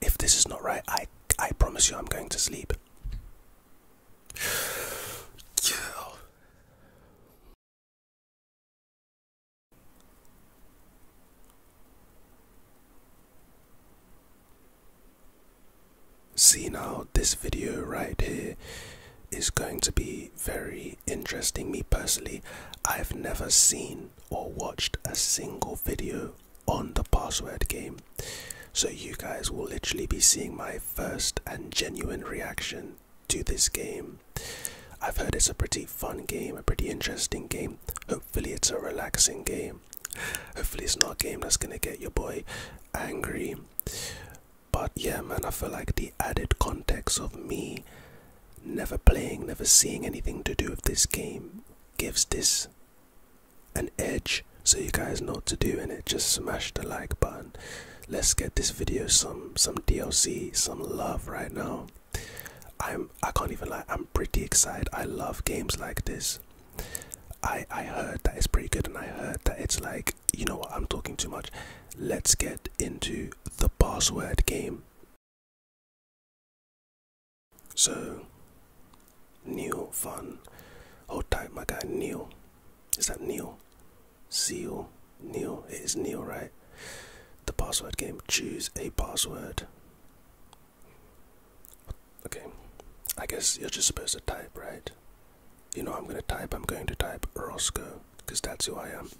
If this is not right, I I promise you I'm going to sleep. Yeah. See now, this video right here is going to be very interesting. Me personally, I've never seen or watched a single video on the password game. So you guys will literally be seeing my first and genuine reaction to this game. I've heard it's a pretty fun game, a pretty interesting game. Hopefully it's a relaxing game. Hopefully it's not a game that's gonna get your boy angry. But yeah man, I feel like the added context of me never playing, never seeing anything to do with this game gives this an edge so you guys know what to do in it just smash the like button let's get this video some some dlc some love right now i'm i can't even like i'm pretty excited i love games like this i i heard that it's pretty good and i heard that it's like you know what i'm talking too much let's get into the password game so, Neil Fun. Hold tight, my guy Neil. Is that Neil? Seal. Neil. It is Neil, right? The password game. Choose a password. Okay. I guess you're just supposed to type, right? You know I'm going to type. I'm going to type Roscoe because that's who I am.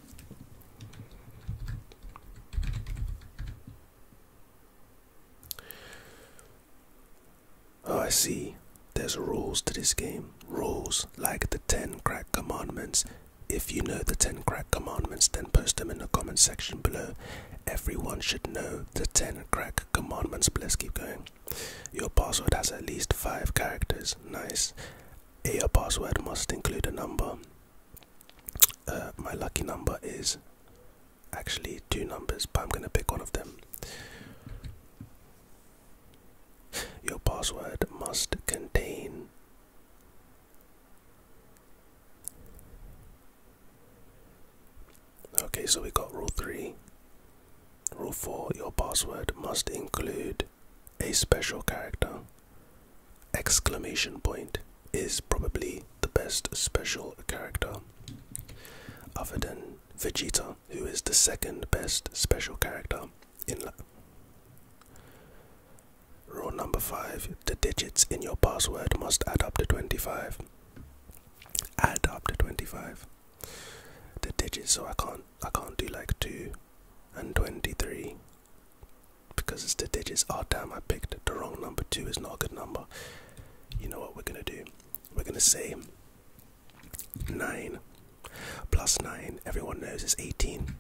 Oh, I see. There's rules to this game. Rules like the 10 crack commandments. If you know the 10 crack commandments, then post them in the comment section below. Everyone should know the 10 crack commandments. But let's keep going. Your password has at least 5 characters. Nice. Your password must include a number. Uh, my lucky number is actually two numbers, but I'm gonna pick one of them. Your password must contain Okay, so we got rule 3. Rule 4 Your password must include a special character exclamation point is probably the best special character other than Vegeta, who is the second best special character in La Rule number 5 The digits in your password must add up to 25. Add up to 25. The digits so I can't I can't do like 2 and 23 because it's the digits. Oh damn, I picked the wrong number. Two is not a good number. You know what we're gonna do? We're gonna say nine plus nine. Everyone knows it's eighteen.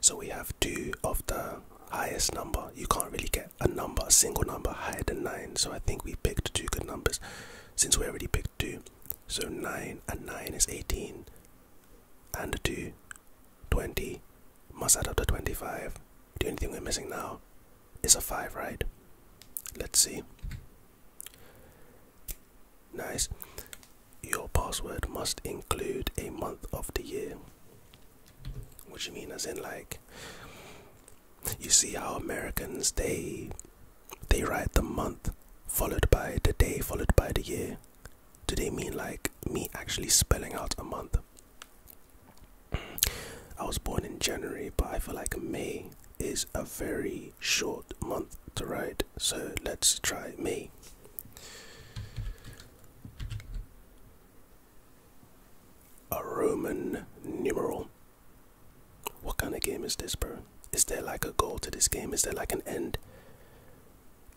So we have two of the highest number. You can't really get a number, a single number higher than nine. So I think we picked two good numbers since we already picked two. So nine and nine is eighteen. And two 20 must add up to 25. The only thing we're missing now is a 5, right? Let's see. Nice. Your password must include a month of the year. What you mean, as in, like, you see how Americans they they write the month followed by the day followed by the year. Do they mean like me actually spelling out a month? I was born in January, but I feel like May is a very short month to write, so let's try May. A Roman numeral. What kind of game is this, bro? Is there like a goal to this game? Is there like an end?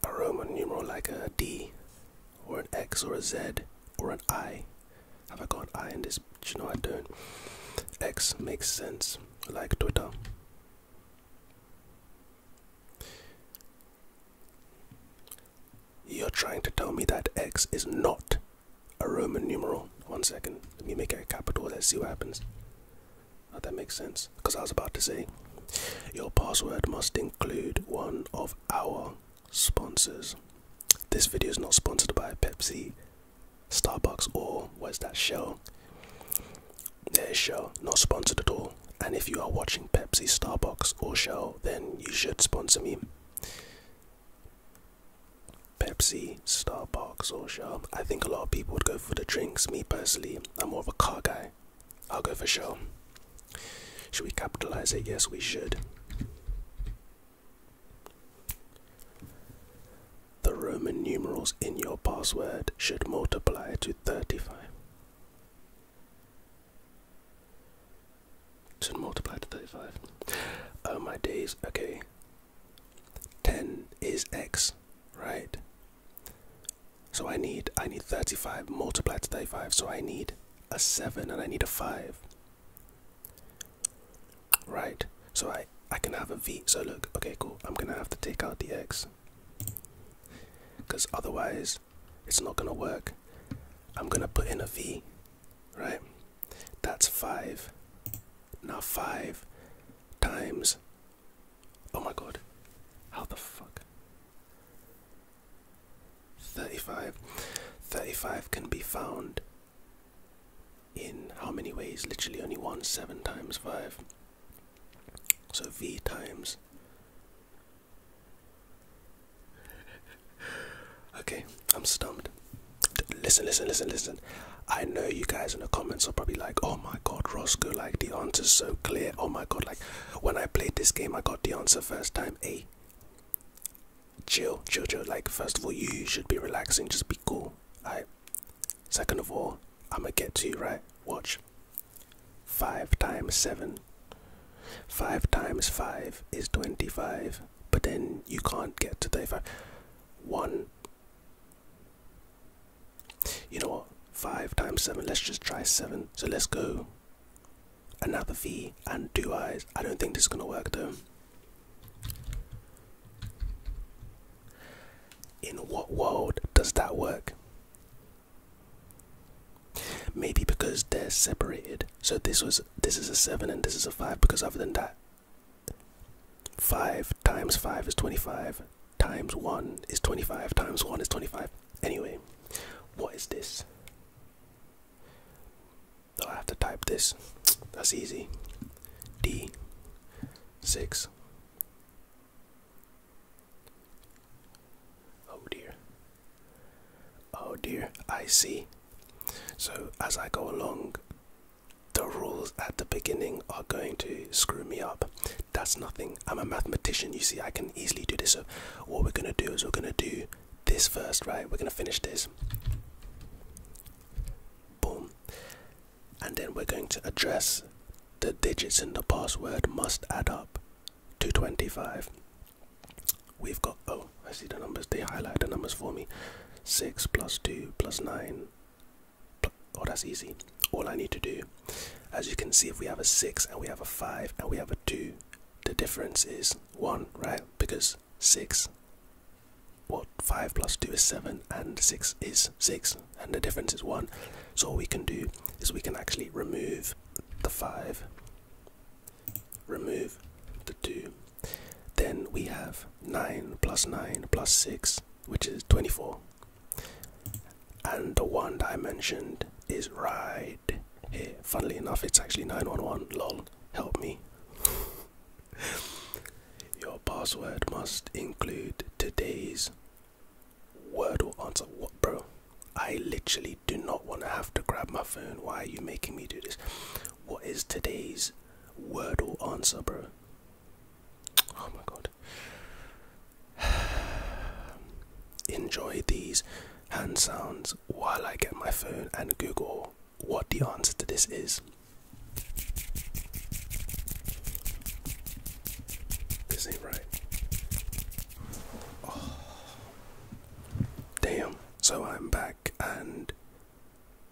A Roman numeral, like a D, or an X or a Z or an I. Have I got an I in this? Do you know I don't. X makes sense, like Twitter. You're trying to tell me that X is not a Roman numeral. One second, let me make it a capital. Let's see what happens. that makes sense. Because I was about to say, your password must include one of our sponsors. This video is not sponsored by Pepsi, Starbucks, or where's that shell? There's shell. not sponsored at all. And if you are watching Pepsi, Starbucks, or Shell, then you should sponsor me. Pepsi, Starbucks, or Shell. I think a lot of people would go for the drinks. Me personally, I'm more of a car guy. I'll go for Shell. Should we capitalize it? Yes, we should. The Roman numerals in your password should multiply to 35. To multiply to 35. Oh my days, okay. 10 is x, right? So I need I need 35 multiplied to 35, so I need a 7 and I need a 5. Right, so I I can have a v. So look, okay, cool. I'm gonna have to take out the x, because otherwise it's not gonna work. I'm gonna put in a v, right? That's five. Now five times. Oh my god, how the fuck? 35. can be found in how many ways? Literally only one, 7 times 5. So v times. Okay, I'm stumped. Listen, listen, listen, listen. I know you guys in the comments are probably like, oh my god, Roscoe, like the answer's so clear. Oh my god, like when I played this game, I got the answer first time. A. Eh? chill, chill, chill. Like, first of all, you should be relaxing, just be cool. Alright. Second of all, I'ma get to you, right? Watch. Five times seven. Five times five is twenty-five, but then you can't get to thirty-five. One. You know what? Five times seven. Let's just try seven. So let's go another V and two eyes. I don't think this is gonna work though. In what world does that work? Maybe because they're separated. So this was this is a seven and this is a five because other than that 5 times 5 is 25 times 1 is 25 times 1 is 25 anyway what is this so I have to type this. That's easy. D six. Oh dear. Oh dear. I see. So as I go along, the rules at the beginning are going to screw me up. That's nothing. I'm a mathematician. You see, I can easily do this. So what we're gonna do is we're gonna do this first, right? We're gonna finish this. Boom. And then we're going to address the digits in the password must add up to 25. We've got, oh, I see the numbers, they highlight the numbers for me. 6 plus 2 plus 9. Oh, that's easy. All I need to do, as you can see, if we have a 6 and we have a 5 and we have a 2, the difference is 1, right? Because 6. What 5 plus 2 is 7 and 6 is 6 and the difference is 1. So what we can do is we can actually remove the 5, remove the 2. Then we have 9 plus 9 plus 6 which is 24. And the one I mentioned is right here. Funnily enough, it's actually 911, long help me. Your password must include today's word or answer. What, bro? I literally do not want to have to grab my phone. Why are you making me do this? What is today's word or answer, bro? Oh my god. Enjoy these hand sounds while I get my phone and Google what the answer to this is. This ain't right. Oh. Damn. So I'm back and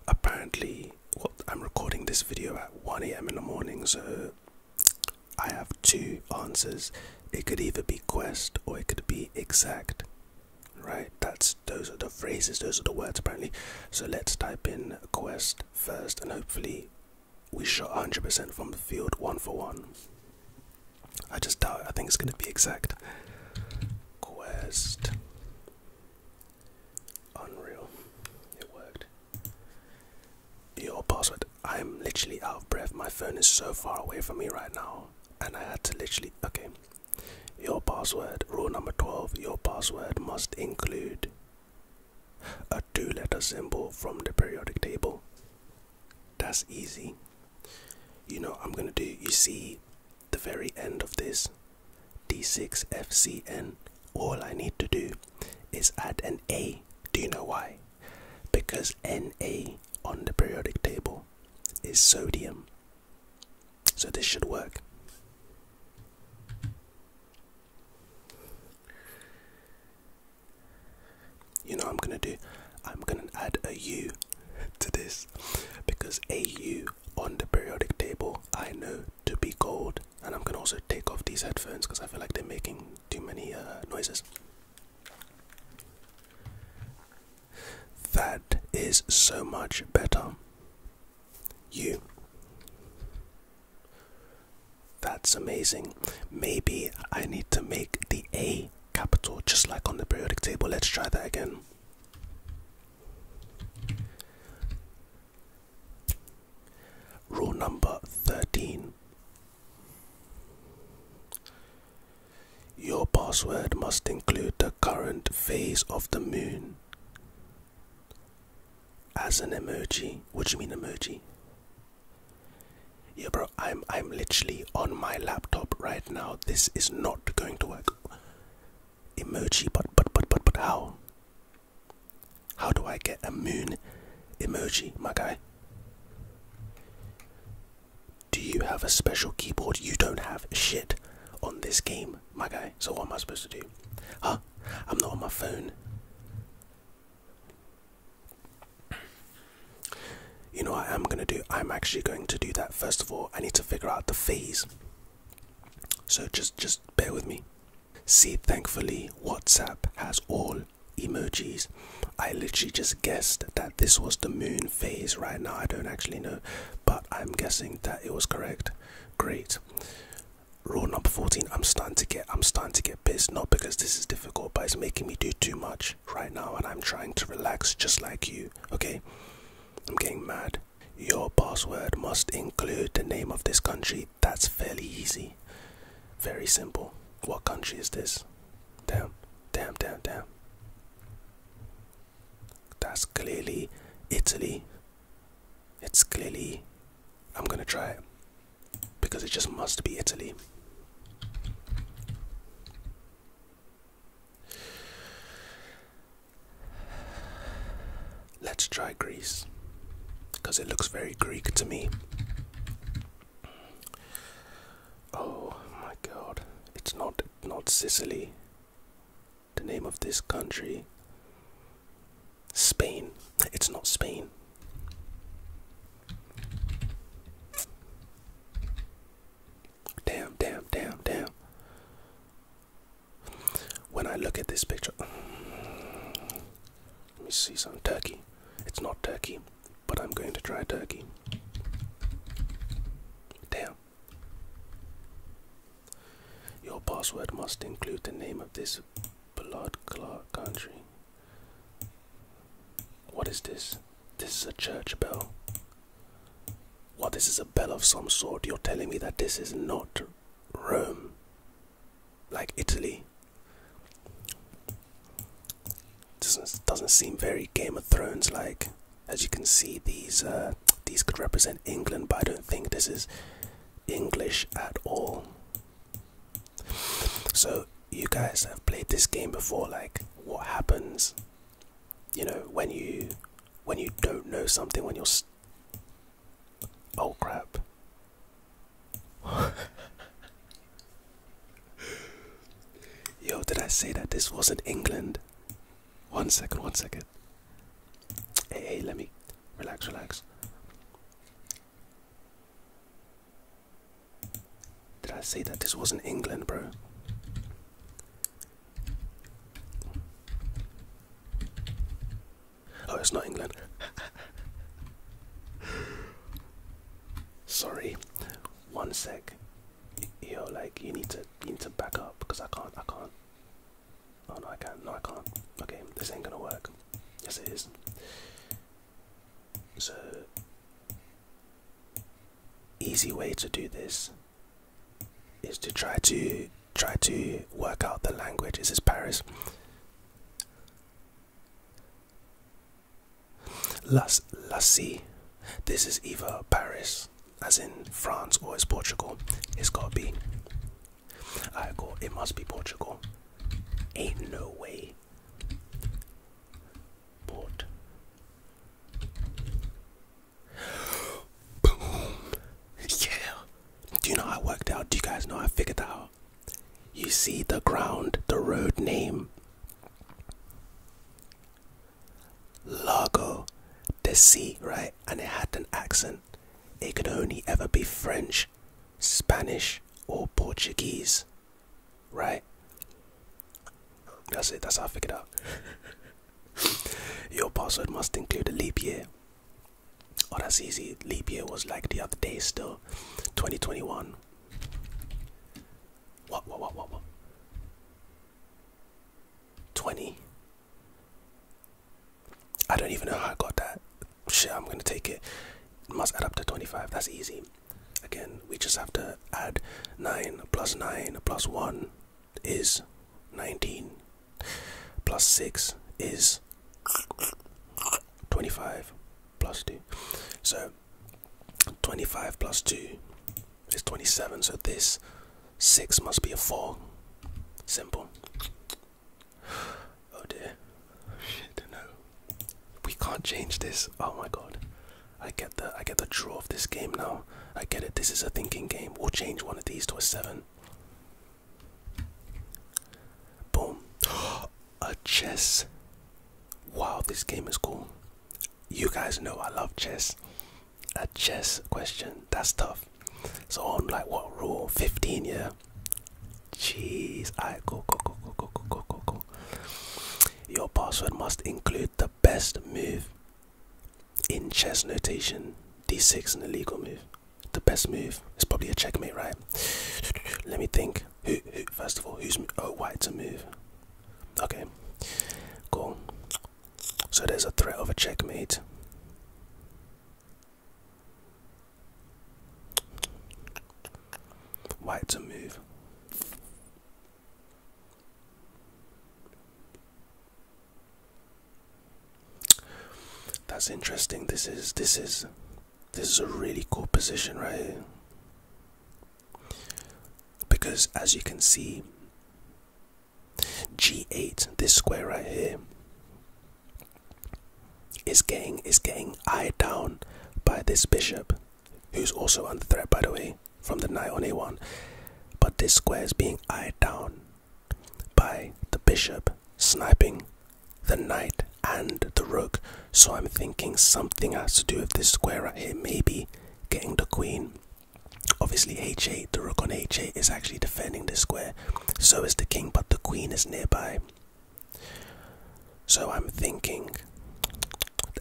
apparently what I'm recording this video at 1 a.m. in the morning so I have two answers. It could either be quest or it could be exact right that's those are the phrases those are the words apparently so let's type in quest first and hopefully we shot 100% from the field one for one i just doubt i think it's going to be exact quest unreal it worked your password i'm literally out of breath my phone is so far away from me right now and i had to literally okay your password, rule number 12, your password must include a two letter symbol from the periodic table. That's easy. You know, I'm gonna do, you see the very end of this D6FCN. All I need to do is add an A. Do you know why? Because Na on the periodic table is sodium. So this should work. You know I'm gonna do? I'm gonna add a U to this because a U on the periodic table I know to be gold, and I'm gonna also take off these headphones because I feel like they're making too many uh, noises. That is so much better. You. That's amazing. Maybe I need to make the A capital just like on the periodic table. Let's try that again. Rule number 13. Your password must include the current phase of the moon as an emoji. What do you mean emoji? Yeah bro, I'm I'm literally on my laptop right now. This is not going to work. Emoji, but but but but but how? How do I get a moon emoji, my guy? Do you have a special keyboard? You don't have shit on this game, my guy. So what am I supposed to do? Huh? I'm not on my phone. You know what I'm gonna do? I'm actually going to do that first of all. I need to figure out the phase. So just just bear with me. See, thankfully, WhatsApp has all emojis. I literally just guessed that this was the moon phase right now. I don't actually know but I'm guessing that it was correct. Great. Rule number 14, I'm starting to get I'm starting to get pissed, not because this is difficult, but it's making me do too much right now and I'm trying to relax just like you. Okay? I'm getting mad. Your password must include the name of this country. That's fairly easy. Very simple. What country is this? Damn, damn, damn, damn. That's clearly Italy. It's clearly. I'm gonna try it because it just must be Italy. Let's try Greece because it looks very Greek to me. Oh my god, it's not not Sicily, the name of this country Spain. It's not Spain. Damn, damn, damn, damn. When I look at this picture, let me see some Turkey. It's not Turkey, but I'm going to try Turkey. Damn. Your password must include the name of this blood clot country. What is this? This is a church bell. What, this is a bell of some sort? You're telling me that this is not Rome? Like Italy? Doesn't, doesn't seem very Game of Thrones like. As you can see, these uh, these could represent England, but I don't think this is English at all. So you guys have played this game before. Like, what happens? You know, when you when you don't know something, when you're oh crap. Yo, did I say that this wasn't England? One second, one second. Hey, hey, let me relax, relax. Did I say that this wasn't England, bro? Oh, it's not England. Sorry. One sec yo, like you need to you need to back up because I can't, I can't. Oh no, I can. not No, I can't. Okay, this ain't gonna work. Yes, it is. So, easy way to do this is to try to try to work out the language. This is Paris. Las Lassie. This is Eva Paris as in France or as Portugal. It's gotta be. I call It must be Portugal. Ain't no way. Port. Boom. Yeah. Do you know I worked out? Do you guys know I figured out? You see the ground, the road name. Lago the sea, right? And it had an accent. It could only ever be French, Spanish, or Portuguese, right? That's it, that's how I figured out. Your password must include a leap year. Oh, that's easy. Leap year was like the other day still. 2021. What, what, what, what, what? 20. I don't even know how I got that. Shit, I'm gonna take it. it. Must add up to 25. That's easy. Again, we just have to add 9 plus 9 plus 1 is 19. Plus 6 is 25 plus 2. So 25 plus 2 it's 27, so this 6 must be a 4. Simple. Oh dear. Shit, no. We can't change this. Oh my god. I get the I get the draw of this game now. I get it. This is a thinking game. We'll change one of these to a 7. Boom. a chess. Wow, this game is cool. You guys know I love chess a chess question. That's tough. So on like what rule? 15, yeah. Jeez, alright, go, go, go, go, go, go, go, go, go. Your password must include the best move in chess notation. D6 is an legal move. The best move. is probably a checkmate, right? Let me think. Who, who first of all, who's oh white to move? Okay. Cool. So there's a threat of a checkmate. White to move. That's interesting. This is this is this is a really cool position right Because as you can see G8, this square right here, is getting is getting eyed down by this bishop, who's also under threat by the way from the knight on e one But this square is being eyed down by the bishop sniping the knight and the rook. So I'm thinking something has to do with this square right here, maybe getting the queen. Obviously, h8, the rook on h8 is actually defending the square, so is the king, but the queen is nearby. So I'm thinking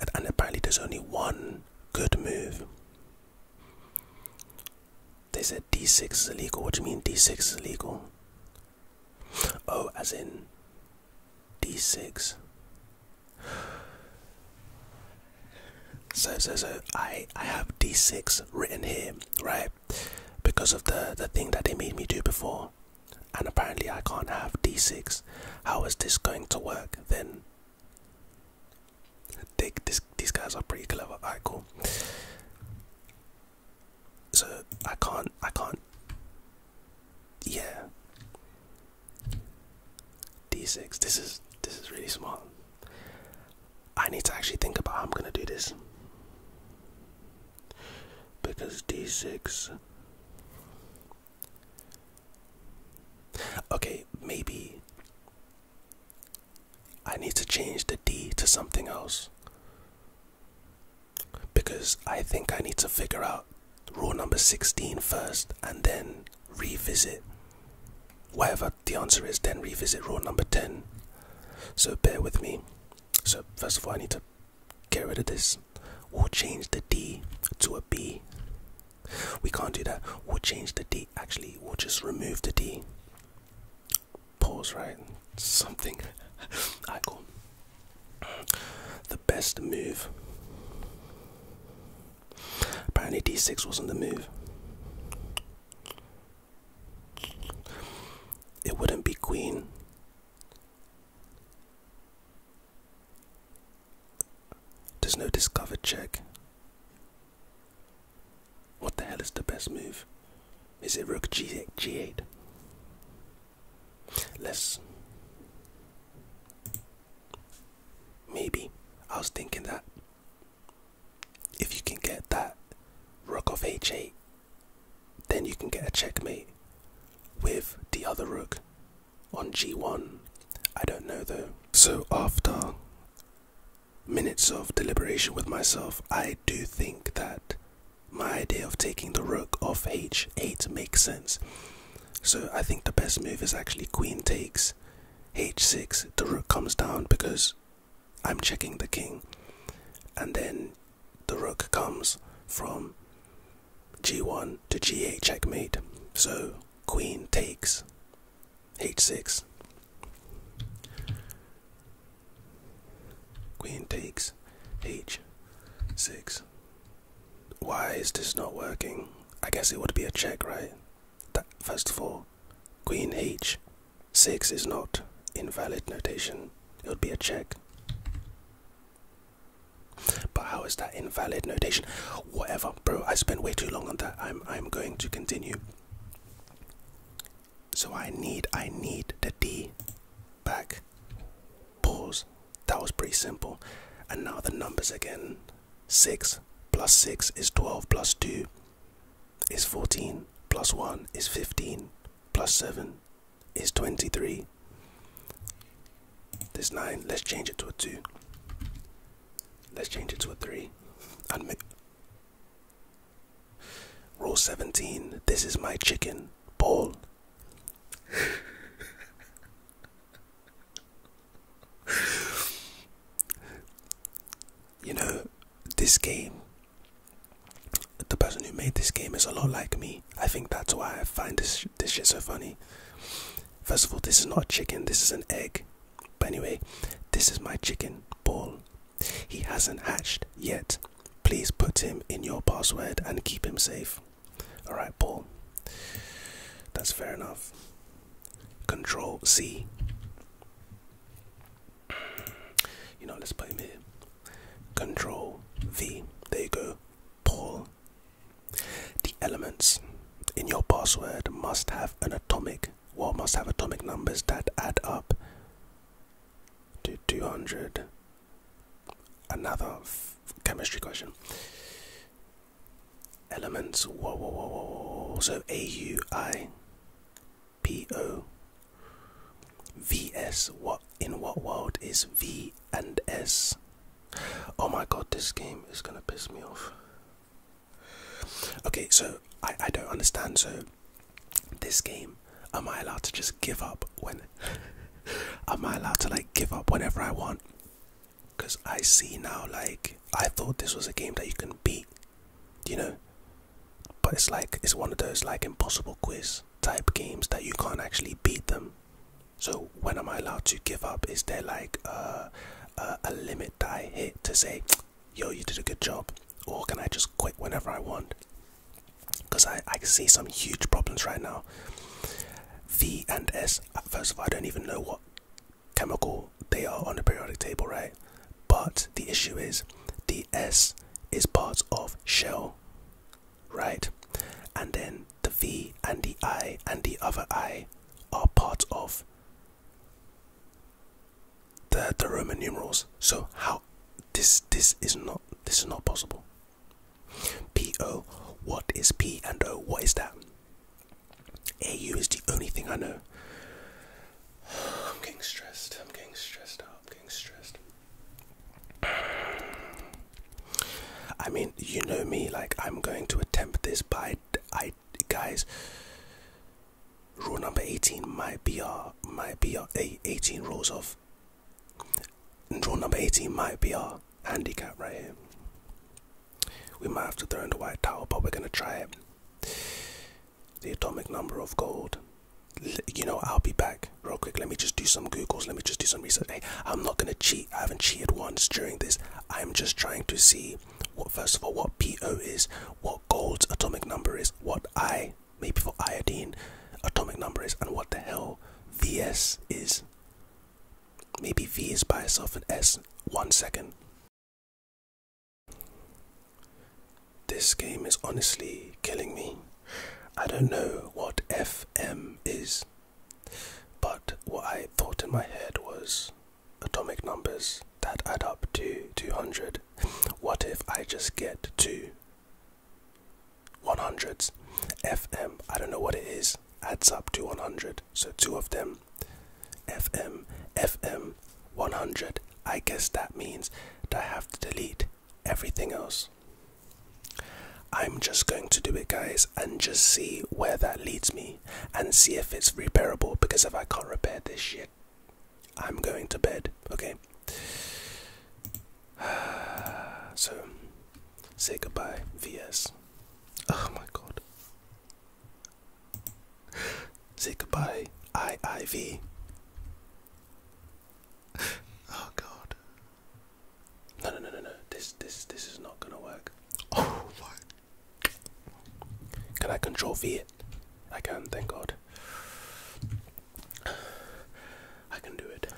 that, and apparently, there's only one good move. They said d6 is illegal. What do you mean d6 is illegal? Oh, as in d6. So so so I I have D6 written here, right? Because of the the thing that they made me do before. And apparently I can't have D6. How is this going to work then? They, this, these guys are pretty clever. I cool. So I can't I can't Yeah. D6. This is this is really smart. I need to actually think about how I'm going to do this. Because d6. Okay, maybe I need to change the D to something else. Because I think I need to figure out rule number 16 first and then revisit whatever the answer is, then revisit rule number 10. So bear with me. So, first of all, I need to get rid of this. We'll change the D to a B. We can't do that. We'll change the D. Actually, we'll just remove the D. Pause, right? Something. Alright, cool. The best move Apparently, d6 wasn't the move. It wouldn't be queen. There's no discovered check. What the hell is the best move? Is it rook G 8 let Maybe. I was thinking that if you can get that rook of h8, then you can get a checkmate with the other rook on g1. I don't know though. So after minutes of deliberation with myself, I do think that my idea of taking the rook off h8 makes sense. So I think the best move is actually queen takes h6, the rook comes down because I'm checking the king. And then the rook comes from g1 to g8 checkmate. So queen takes h6. Queen takes h6. Why is this not working? I guess it would be a check, right? That, first of all, queen h Six is not invalid notation. It would be a check. But how is that invalid notation? Whatever, bro. I spent way too long on that. I'm I'm going to continue. So I need I need the D back. Pause. That was pretty simple. And now the numbers again. Six plus six is twelve plus two is 14 plus 1 is 15 plus 7 is 23. This 9, let's change it to a 2. Let's change it to a 3. Admit. Rule 17, this is my chicken ball. You know, this game, the person who made this game is a lot like me. I think that's why I find this, this shit so funny. First of all, this is not chicken, this is an egg. But anyway, this is my chicken Paul. He hasn't hatched yet. Please put him in your password and keep him safe. Alright, Paul. That's fair enough. Control C. You know, let's play him here. Control V. There you go. Paul. The elements in your password must have an atomic, well, must have atomic numbers that add up to 200. Another chemistry question. Elements. Whoa, whoa, whoa, whoa. So A U I P O. V S. what in what world is V and S? Oh my god, this game is gonna piss me off. Okay, so I, I don't understand. So, this game, am I allowed to just give up when? am I allowed to like give up whenever I want? Because I see now, like, I thought this was a game that you can beat you know but it's like it's one of those like impossible quiz type games that you can't actually beat them so when am i allowed to give up is there like a limit that i hit to say yo you did a good job or can i just quit whenever i want because I, I see some huge problems right now v and s uh, first of all i don't even know what chemical they are on the periodic table, right? But the issue is the S is part of shell, right? And then the V and the I and the other I are part of the the Roman numerals. So how this this is not this is not possible. P O what is P and O? What is that? AU is the only thing I know. I'm getting stressed. I'm getting stressed out. I'm getting stressed. I mean, you know me, like, I'm going to attempt this, By I, guys, rule number 18 might be my BR, my BR, 18 rules of, rule number 18 might be our handicap right here. We might have to throw in the white towel, but we're going to try it the atomic number of gold. You know, I'll be back real quick. Let me just do some Googles. Let me just do some research. Hey, I'm not going to cheat. I haven't cheated once during this. I'm just trying to see what, first of all, what PO is, what gold's atomic number is, what I, maybe for iodine, atomic number is, and what the hell VS is. Maybe V is by itself and S. One second. This game is honestly killing me. I don't know what FM is, but what I thought in my head was atomic numbers that add up to 200. What if I just get two 100s? FM, I don't know what it is, adds up to 100. So two of them. FM, FM, 100, I guess that means that I have to delete everything else. I'm just going to do it, guys, and just see where that leads me and see if it's repairable. Because if I can't repair this shit, I'm going to bed, okay? So, say goodbye, VS. Oh my god. Say goodbye, IIV. Oh god. No no no no no. This this this is not gonna work. Oh my Can I control V? I can, thank god. I can do it.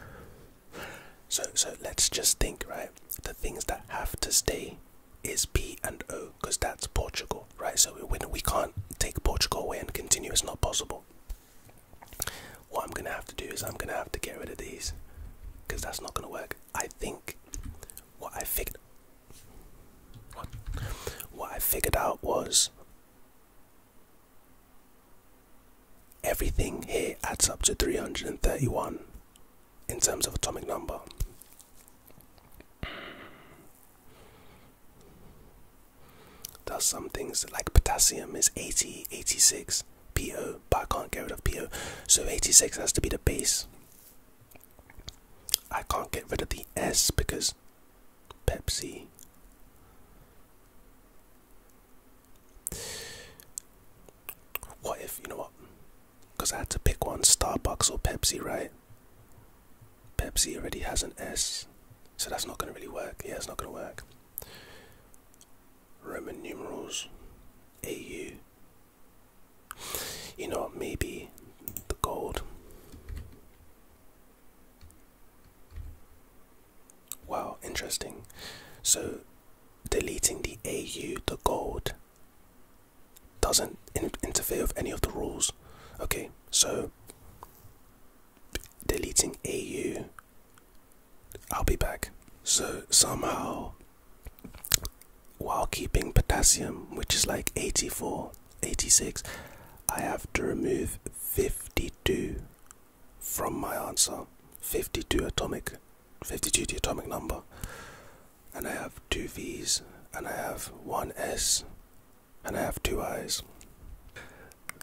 So so let's just think, right? The things that have to stay is P and O because that's Portugal, right? So we, we can't take Portugal away and continue. It's not possible. What I'm gonna have to do is I'm gonna have to get rid of these because that's not gonna work. I think what I figured what what I figured out was everything here adds up to 331 in terms of atomic number. Does some things like potassium is 80, 86 PO, but I can't get rid of PO, so 86 has to be the base. I can't get rid of the S because Pepsi. What if, you know what? Because I had to pick one Starbucks or Pepsi, right? Pepsi already has an S, so that's not going to really work. Yeah, it's not going to work. Roman numerals, AU. You know, maybe the gold. Wow, interesting. So, deleting the AU, the gold, doesn't interfere with any of the rules. Okay, so deleting AU. I'll be back. So somehow, while keeping potassium, which is like 84, 86, I have to remove 52 from my answer. 52 atomic, 52 atomic number. And I have two V's and I have one S and I have two eyes.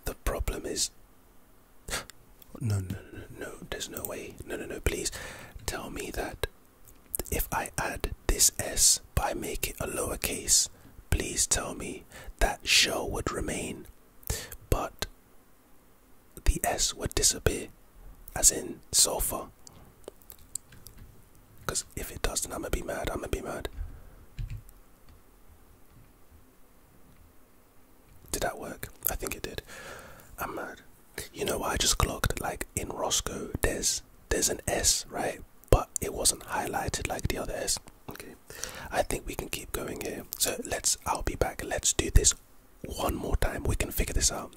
The problem is. No, no, no, no, there's no way. No, no, no, please tell me that if I add this S by making it a lowercase, please tell me that shall would remain, but the S would disappear, as in sulfur. Because if it does, not I'm gonna be mad. I'm gonna be mad. Did that work? I think it did. I'm mad. You know what? I just clocked. Like in Roscoe, there's there's an S, right? But it wasn't highlighted like the other S. Okay. I think we can keep going here. So let's. I'll be back. Let's do this one more time. We can figure this out.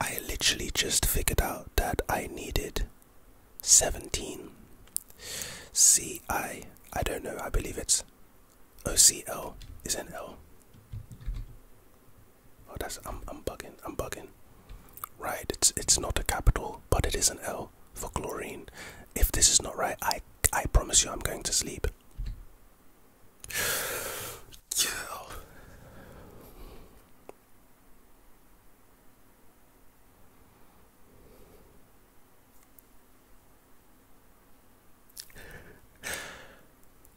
I literally just figured out that I needed 17 CI. I don't know, I believe it's OCL is an L. Oh, that's I'm bugging. I'm bugging. Right. It's it's not a capital, but it is an L for chlorine. If this is not right, I I promise you, I'm going to sleep. Yeah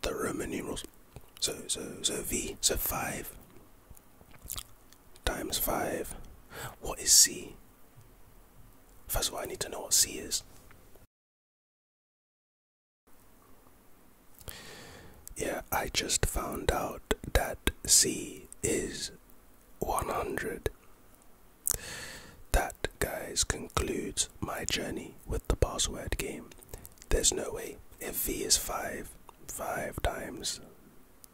the Roman numerals. So, so, so V, so 5 times 5. What is C? First of all, I need to know what C is. Yeah, I just found out that C is 100. That, guys, concludes my journey with the password game. There's no way. If V is five, five times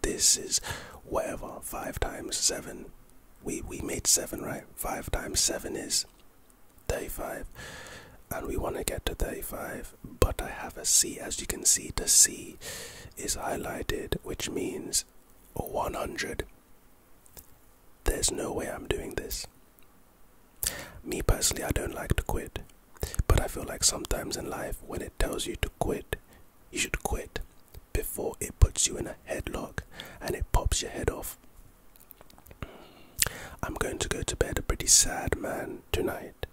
this is whatever, five times seven. We we made seven, right? Five times seven is thirty-five. And we want to get to 35, but I have a C. As you can see, the C is highlighted, which means 100. There's no way I'm doing this. Me personally, I don't like to quit, but I feel like sometimes in life, when it tells you to quit, you should quit before it puts you in a headlock and it pops your head off. I'm going to go to bed a pretty sad man tonight.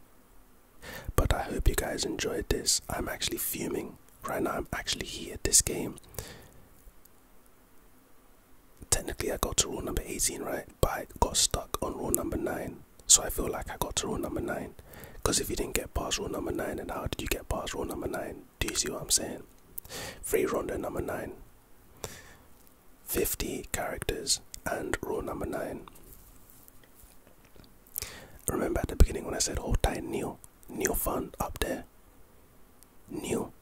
But I hope you guys enjoyed this. I'm actually fuming. Right now, I'm actually here at this game. Technically, I got to rule number 18, right? but got stuck on rule number nine. So I feel like I got to rule number nine. Because if you didn't get past rule number nine, then how did you get past rule number nine? Do you see what I'm saying? Free ronda number nine. 50 characters and rule number nine. Remember at the beginning when I said hold tight, Neil? Neil Fun up there. Neil.